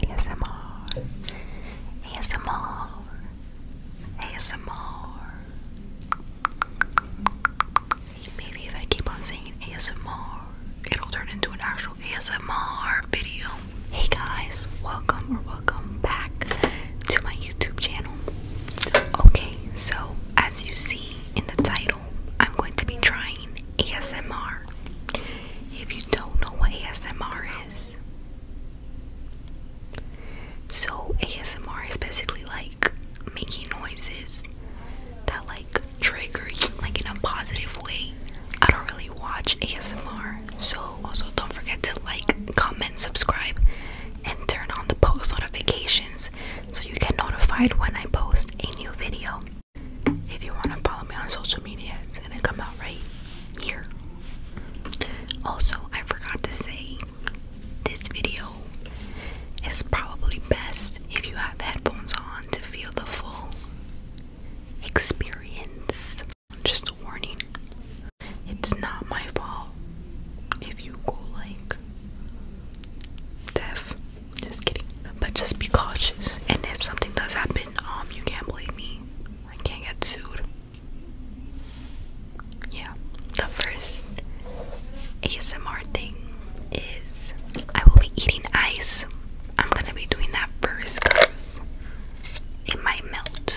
ASMR. ASMR. ASMR. Maybe if I keep on saying ASMR, it'll turn into an actual ASMR video. Hey guys, welcome or welcome back to my YouTube channel. Okay, so as you see in the title, I'm going to be trying ASMR. If you don't know what ASMR is, so ASMR is basically like making noises that like trigger you, like in a positive way. I don't really watch ASMR, so also don't forget to like, comment, subscribe, and turn on the post notifications so you get notified when I post a new video. If you want to follow me on social media, it's gonna come out right here. Also, I forgot to say this video is probably best if you have headphones on to feel the full experience. Just a warning it's not my fault if you go like deaf. Just kidding. But just be cautious. And if something does happen, um, you can't blame me. I can't get sued. Yeah. The first ASMR thing is I will be eating ice. I'm gonna be doing that first it might melt.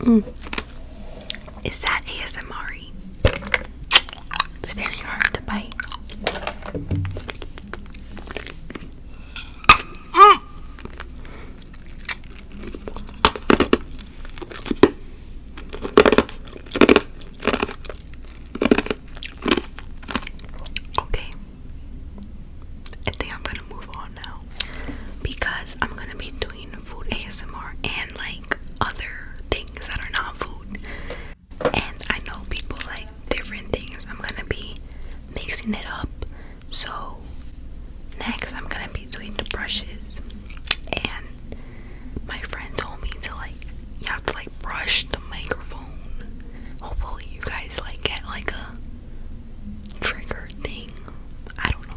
Mm. Is that ASMR? It's very hard to bite. Okay. I think I'm gonna move on now because I'm gonna be doing food ASMR and like other things that are not food. And I know people like different things. I'm gonna be mixing it up. So next I'm gonna be doing the brushes and my friend told me to like you have to like brush the microphone. Hopefully you guys like get like a trigger thing. I don't know.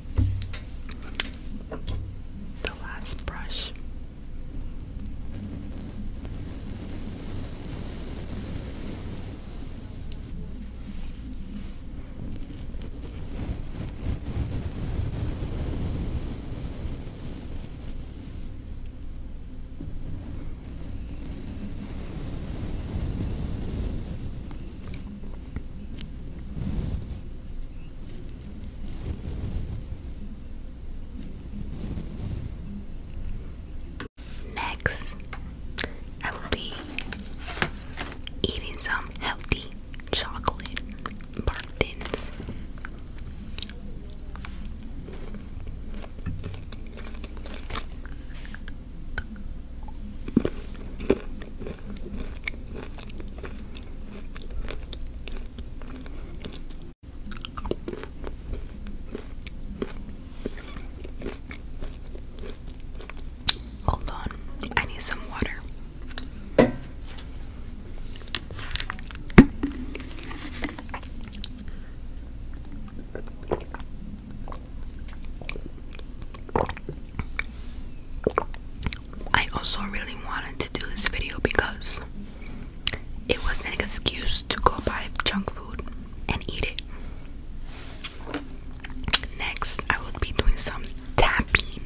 the last brush. Next, I will be eating some healthy chocolate bar thins. Hold on, I need some water. I also really wanted to do this video because it was an excuse to go buy junk food and eat it. Next, I will be doing some tapping.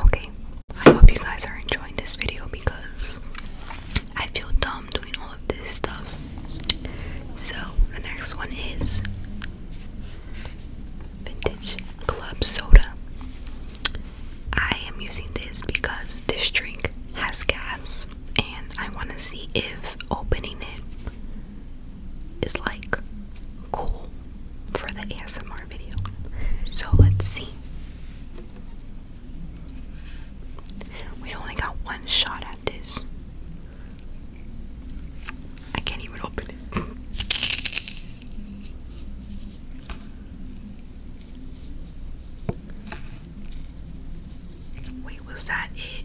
Okay, I hope you guys are enjoying this video because I feel dumb doing all of this stuff. So, the next one is Vintage Club Soda. I am using this because this drink has gas and I want to see if opening it is like cool for the ASMR video. So let's see. We only got one shot at this. I can't even open it. Wait, was that it?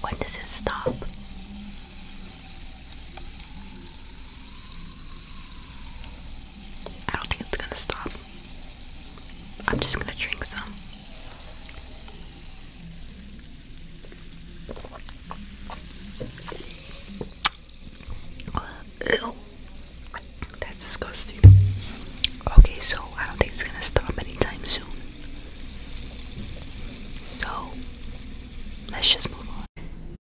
When does it stop? I don't think it's gonna stop. I'm just gonna drink some. Ew. That's disgusting. Okay, so I don't think it's gonna stop anytime soon. So let's just move on.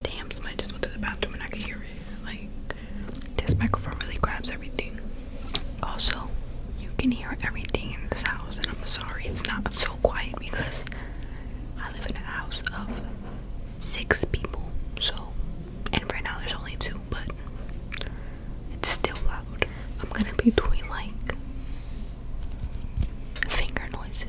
Damn, somebody just went to the bathroom and I can hear it. Like, this microphone really grabs everything. Also, you can hear everything in this house, and I'm sorry it's not so quiet because I live in a house of six people. So, and right now there's only two, but it's still loud. I'm gonna be doing like finger noises.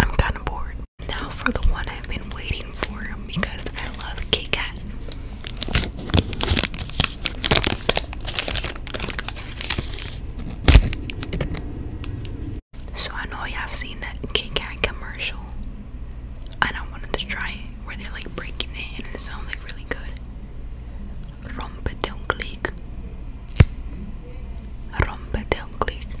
I'm kind of bored. Now for the one I've been waiting for because I love Kit So I know you have seen that Kit Kat commercial, and I wanted to try it where they're like breaking it and it sounds like really good. Rompe de clic. Rompe de clic.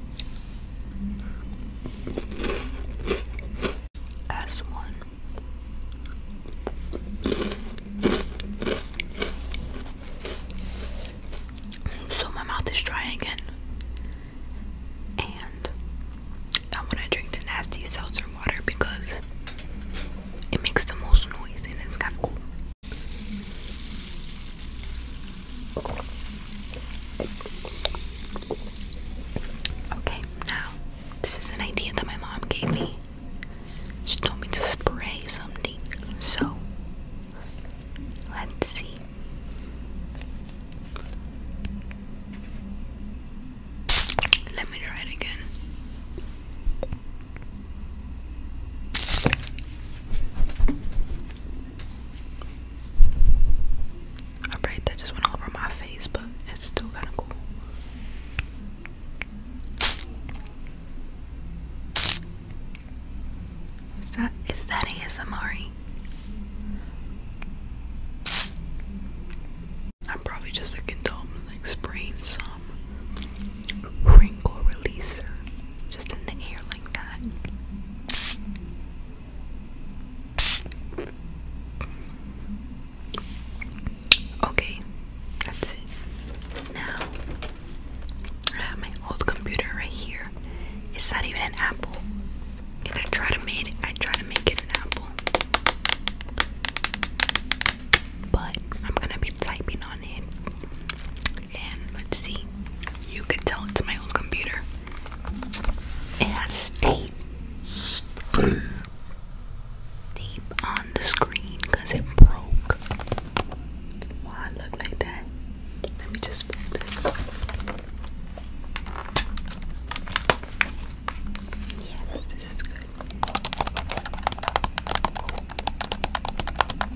S1 so my mouth is dry again and I want to drink the nasty seltzer water because it makes the most noise and it's kind of cool Okay, now this is an idea that my mom gave me. She told me to spray something. So let's see. Let me try it again. Alright, that just went all over my face, but it's still kind of cool. Is that is that ASMR? I'm probably just a dumb like spraying some wrinkle releaser just in the air like that. Okay, that's it. Now, I have my old computer right here. It's not even an Apple. I try to make it, I try to make it an Apple. But I'm gonna be typing on it let's see. You can tell it's my old computer. It has state. Tape on the screen because it broke. Why look like that? Let me just put this. Yes, this is good.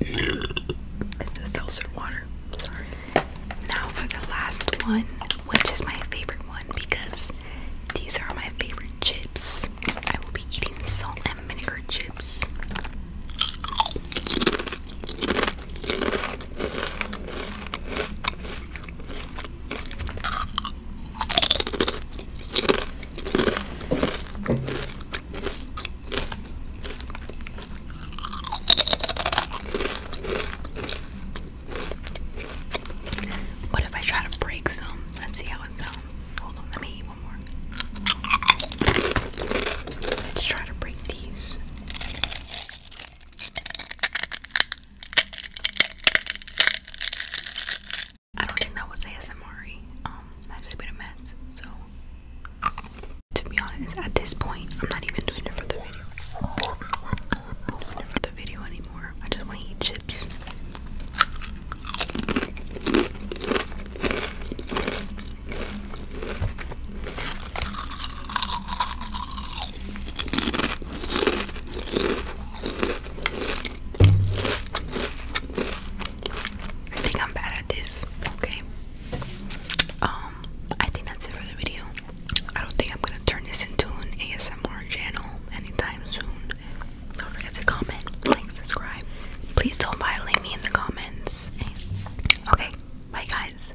It's the seltzer water. Sorry. Now for the last one, which is my favorite one because these are my favorite chips. I will be eating salt and vinegar chips. What if I try to break some? Let's see how it's done. Hold on, let me eat one more. Let's try to break these. I don't think that was ASMR. Um, I just made a mess. So, to be honest, at this point, I'm not even doing it for the video. doing it for the video anymore. I just want to eat chips. I think I'm bad at this. Okay. Um, I think that's it for the video. I don't think I'm gonna turn this into an ASMR channel anytime soon. Don't forget to comment, like, subscribe. Please don't violate me in the comments. Okay, bye guys.